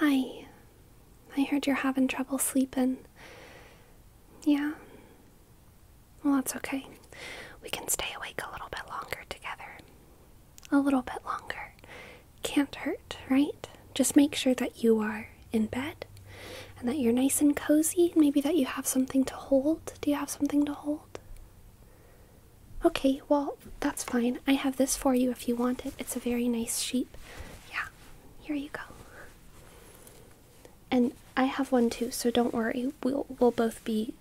Hi. I heard you're having trouble sleeping. Yeah? Well, that's okay. We can stay awake a little bit longer together. A little bit longer. Can't hurt, right? Just make sure that you are in bed and that you're nice and cozy, maybe that you have something to hold. Do you have something to hold? Okay, well, that's fine. I have this for you if you want it. It's a very nice sheet. Yeah, here you go. And I have one too, so don't worry. We'll we'll both be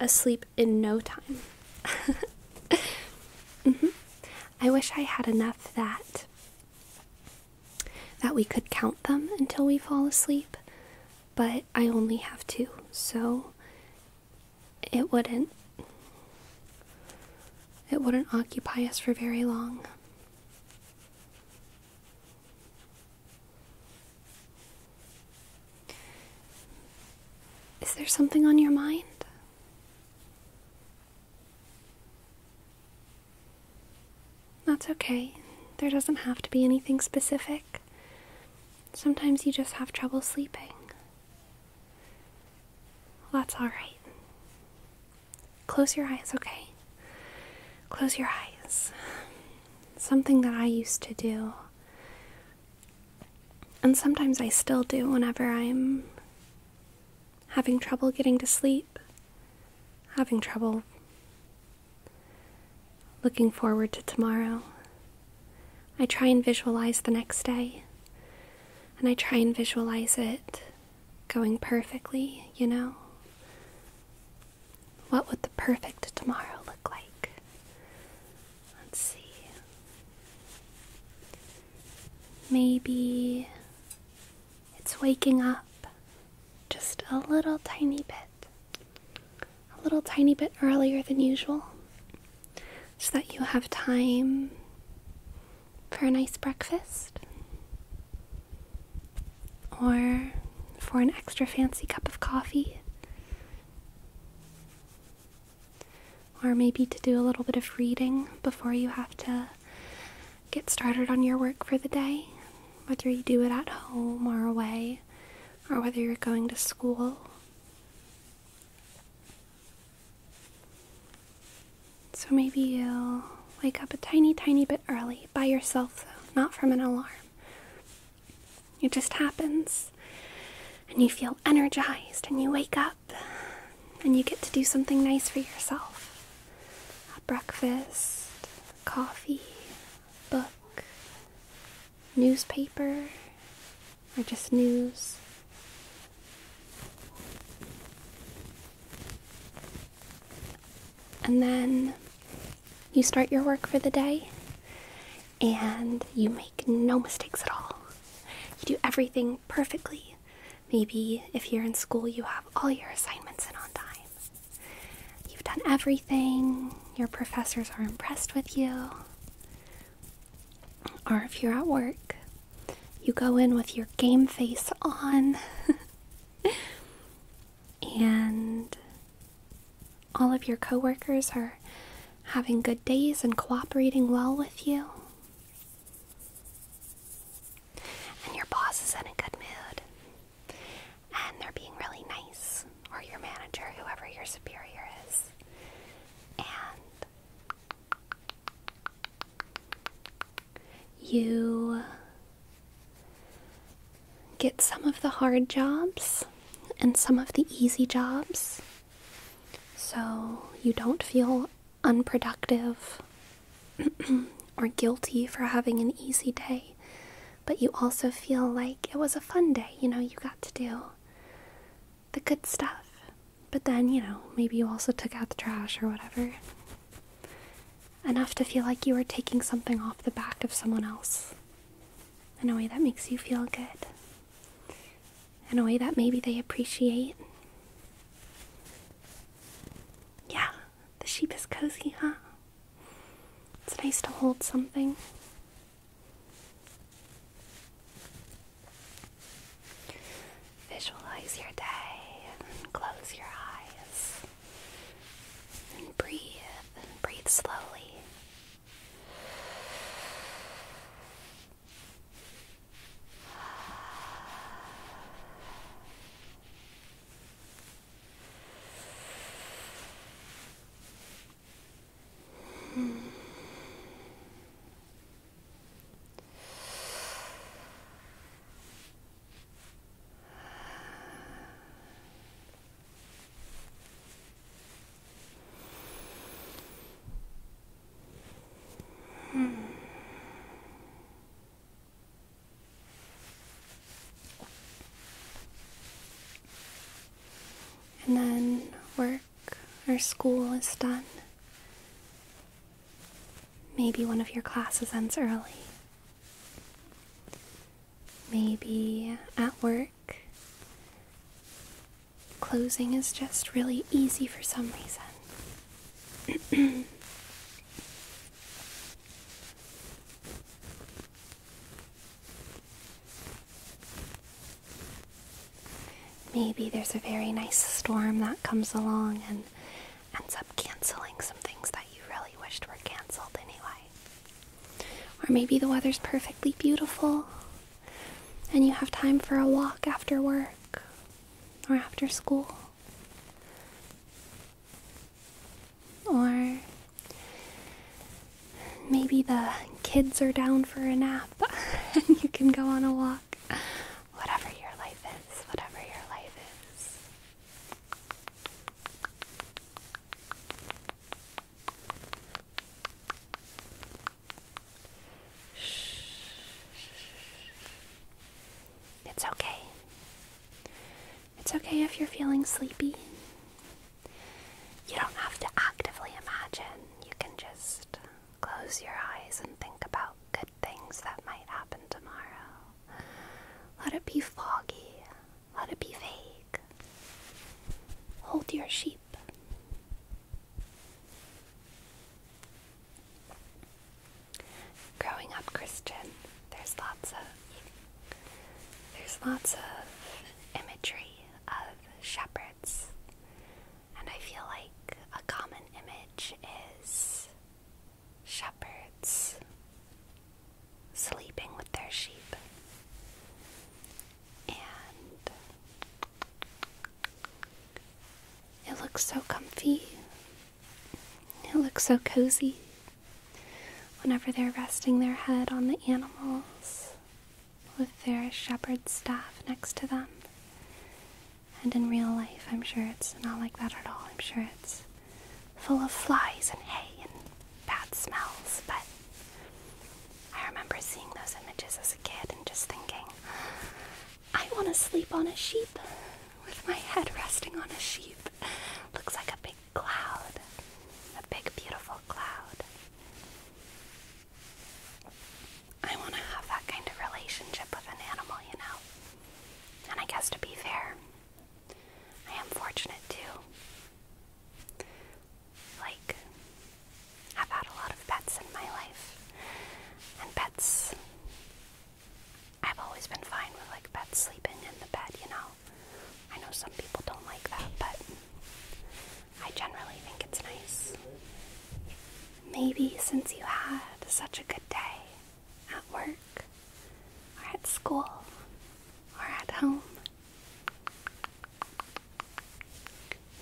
asleep in no time. Mm-hmm. I wish I had enough that that we could count them until we fall asleep, but I only have two. So it wouldn't. It wouldn't occupy us for very long. Is there something on your mind? That's okay. There doesn't have to be anything specific. Sometimes you just have trouble sleeping. Well, that's all right. Close your eyes, okay? Close your eyes. Something that I used to do, and sometimes I still do whenever I'm having trouble getting to sleep, having trouble looking forward to tomorrow. I try and visualize the next day and I try and visualize it going perfectly, you know? What would the perfect tomorrow look like? Let's see. Maybe it's waking up just a little tiny bit, a little tiny bit earlier than usual so that you have time for a nice breakfast or for an extra fancy cup of coffee. Or maybe to do a little bit of reading before you have to get started on your work for the day, whether you do it at home or away, or whether you're going to school. So maybe you'll wake up a tiny, tiny bit early by yourself, though, not from an alarm. It just happens, and you feel energized, and you wake up, and you get to do something nice for yourself a breakfast, coffee, book, newspaper, or just news. And then you start your work for the day and you make no mistakes at all. You do everything perfectly. Maybe if you're in school, you have all your assignments in on time. You've done everything, your professors are impressed with you or if you're at work, you go in with your game face on and all of your coworkers are having good days and cooperating well with you. And your boss is in a good mood. And they're being really nice, or your manager, whoever your superior is. And you get some of the hard jobs and some of the easy jobs, so you don't feel unproductive or guilty for having an easy day, but you also feel like it was a fun day. You know, you got to do the good stuff. But then, you know, maybe you also took out the trash or whatever. Enough to feel like you are taking something off the back of someone else. In a way that makes you feel good. In a way that maybe they appreciate. Yeah, the sheep is cozy, huh? It's nice to hold something. Visualize your day and close your eyes and breathe and breathe slowly. And then we're. Our school is done. Maybe one of your classes ends early. Maybe at work, closing is just really easy for some reason. Maybe there's a very nice storm that comes along and ends up canceling some things that you really wished were canceled anyway. Or maybe the weather's perfectly beautiful and you have time for a walk after work or after school. Or maybe the kids are down for a nap and you can go on a walk. Whatever your life is, whatever your life is. It's okay. It's okay if you're feeling sleepy. You don't have to actively imagine. You can just Close your eyes and think about good things that might happen tomorrow. Let it be foggy. Let it be vague. Hold your sheep. Growing up Christian, there's lots of there's lots of imagery of shepherds and I feel like a common image is shepherds sleeping with their sheep. And it looks so comfy. It looks so cozy whenever they're resting their head on the animals with their shepherd's staff next to them. And in real life, I'm sure it's not like that at all. I'm sure it's full of flies and hay and bad smells, but I remember seeing those images as a kid and just thinking, I want to sleep on a sheep with my head resting on a sheep. Looks like a big cloud, a big, beautiful cloud. I want to have that kind of relationship with an animal, you know. And I guess to be fair, I am fortunate too. Like, have had a lot of pets in my life. And pets, I've always been fine with like pets sleeping in the bed, you know. I know some people don't like that, but I generally think it's nice. Maybe since you had such a good day at work, or at school, or at home,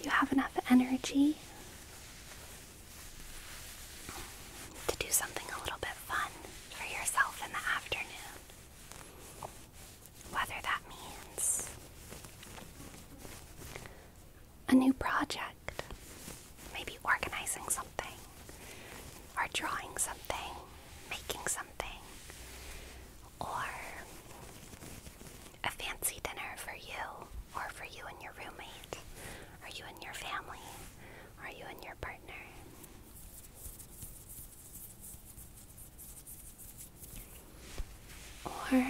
you have enough energy to do something a little bit fun for yourself in the afternoon whether that means a new project, maybe organizing something, or drawing something, making something, or a fancy dinner for you, or for you and your roommate, are you and your family, are you and your partner. Or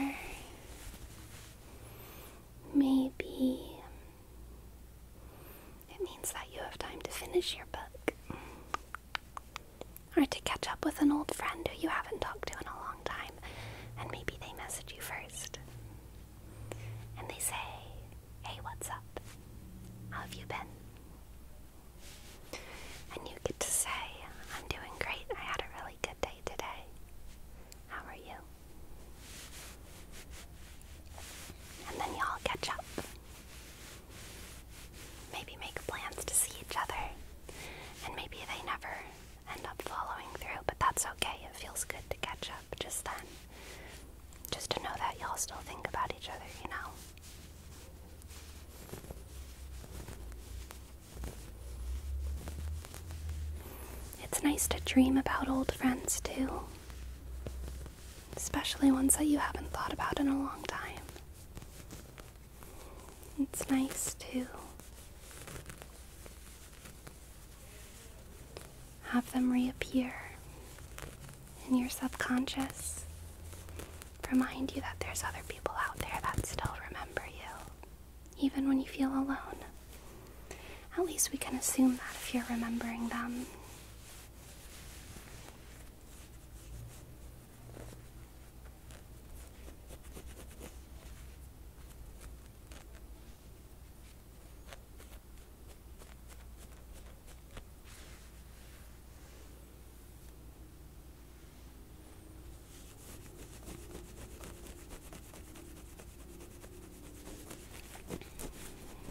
maybe it means that you have time to finish your book. Or to catch up with an old friend who you haven't talked to in a long time, and maybe they message you first. And they say, Hey, what's up? How have you been? And you get to say, I'm doing great, I had a really good day today. How are you? And then y'all catch up. Maybe make plans to see each other. And maybe they never end up following through, but that's okay. It feels good to catch up just then. Just to know that y'all still think about each other, you know? It's nice to dream about old friends too, especially ones that you haven't thought about in a long time. It's nice to have them reappear in your subconscious, remind you that there's other people out there that still remember you even when you feel alone. At least we can assume that if you're remembering them.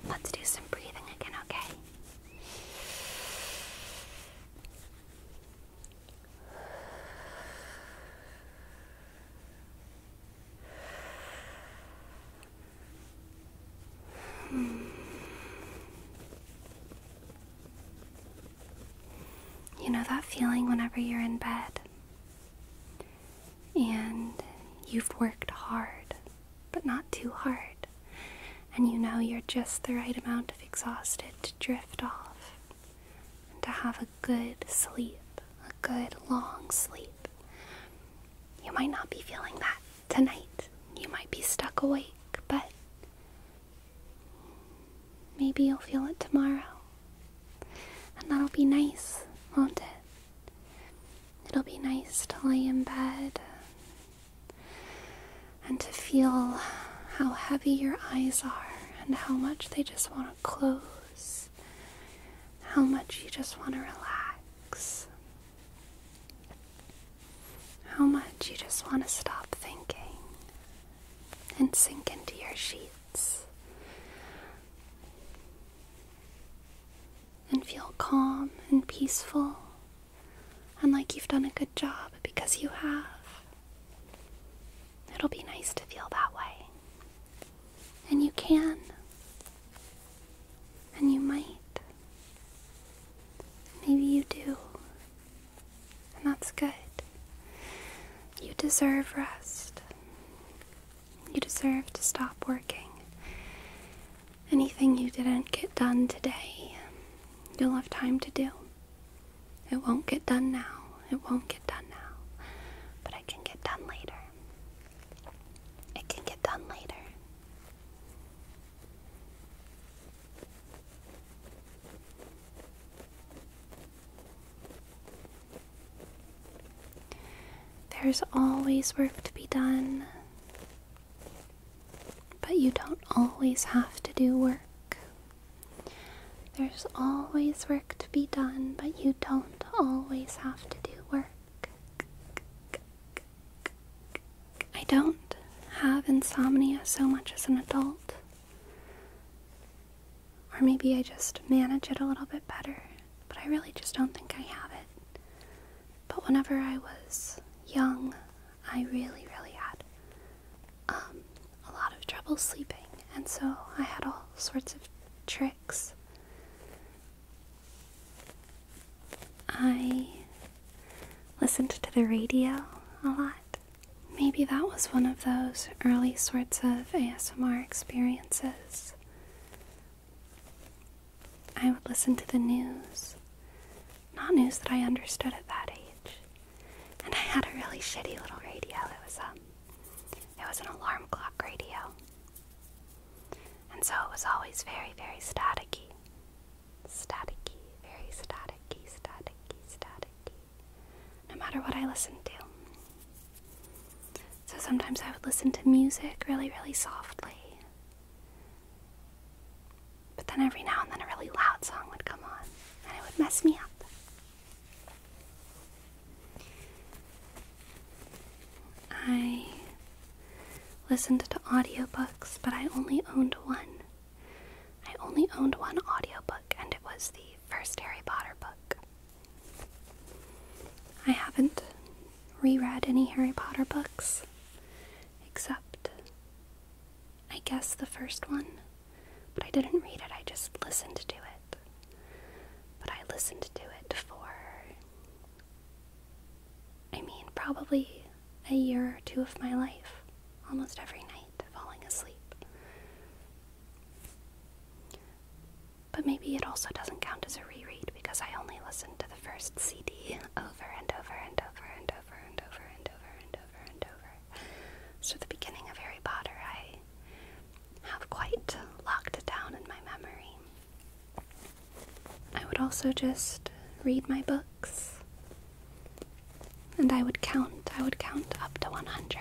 Let's do some breathing again, okay? You know that feeling whenever you're in bed and you've worked hard, but not too hard, and you know you're just the right amount of exhausted to drift off and to have a good sleep, a good long sleep. You might not be feeling that tonight. You might be stuck awake, but Maybe you'll feel it tomorrow. And that'll be nice, won't it? It'll be nice to lay in bed and to feel how heavy your eyes are and how much they just want to close, how much you just want to relax, how much you just want to stop thinking and sink into your sheets. And feel calm and peaceful and like you've done a good job because you have. It'll be nice to feel that way. And you can. And you might. Maybe you do. And that's good. You deserve rest. You deserve to stop working. Anything you didn't get done today, you'll have time to do. It won't get done now. It won't get done now. But it can get done later. It can get done later. There's always work to be done, but you don't always have to do work. There's always work to be done, but you don't always have to do work. I don't have insomnia so much as an adult. Or maybe I just manage it a little bit better, but I really just don't think I have it. But whenever I was young, I really, really had um, a lot of trouble sleeping, and so I had all sorts of tricks. I listened to the radio a lot. Maybe that was one of those early sorts of ASMR experiences. I would listen to the news, not news that I understood at that age. And I had a really shitty little radio. It was um, it was an alarm clock radio, and so it was always very, very staticky, staticky, very staticky, staticky, staticky no matter what I listened to. So sometimes I would listen to music really, really softly. But then every now and then a really loud song would come on and it would mess me up. I listened to audiobooks, but I only owned one. I only owned one audiobook, and it was the first Harry Potter book. I haven't reread any Harry Potter books, except I guess the first one, but I didn't read it, I just listened to it. But I listened to it for, I mean, probably a year or two of my life almost every night, falling asleep. But maybe it also doesn't count as a reread because I only listened to the first CD over and over and over and over and over and over and over and over. So, the beginning of Harry Potter, I have quite locked it down in my memory. I would also just read my books. And I would count, I would count up to 100,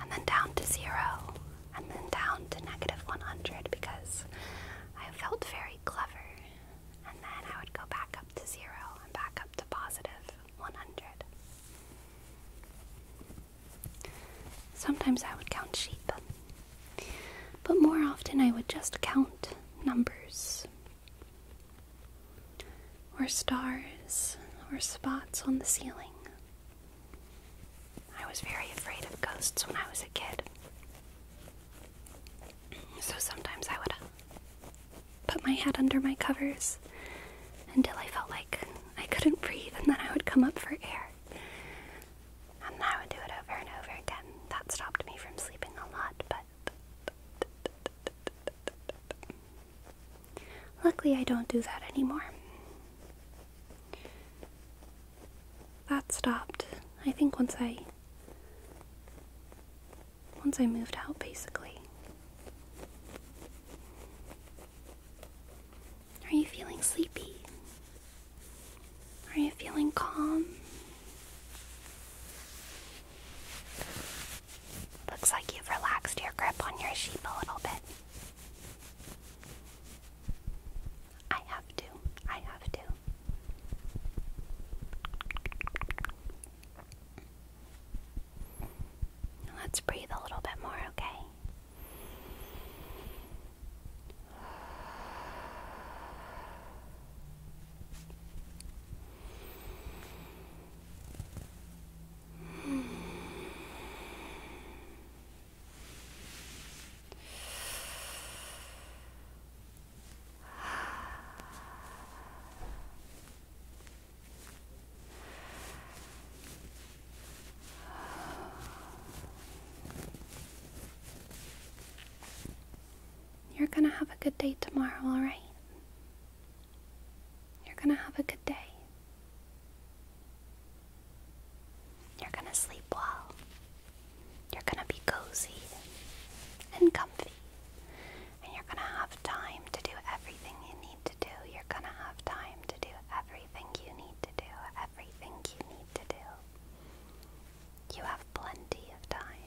and then down to zero, and then down to negative 100 because I felt very clever. And then I would go back up to zero and back up to positive 100. Sometimes I would count sheep, but more often I would just count numbers or stars or spots on the ceiling. I was very afraid of ghosts when I was a kid. So sometimes I would uh, put my head under my covers until I felt like I couldn't breathe, and then I would come up for air. And I would do it over and over again. That stopped me from sleeping a lot, but luckily I don't do that anymore. That stopped. I think once I once I moved out basically. Are you feeling sleepy? Are you feeling calm? Looks like you've relaxed your grip on your sheep a little bit. I have to. I have to. Let's breathe a little bit more, okay? You're gonna have a good day tomorrow, alright? You're going to have a good day. You're going to sleep well. You're going to be cozy and comfy. And you're going to have time to do everything you need to do. You're going to have time to do everything you need to do. Everything you need to do. You have plenty of time.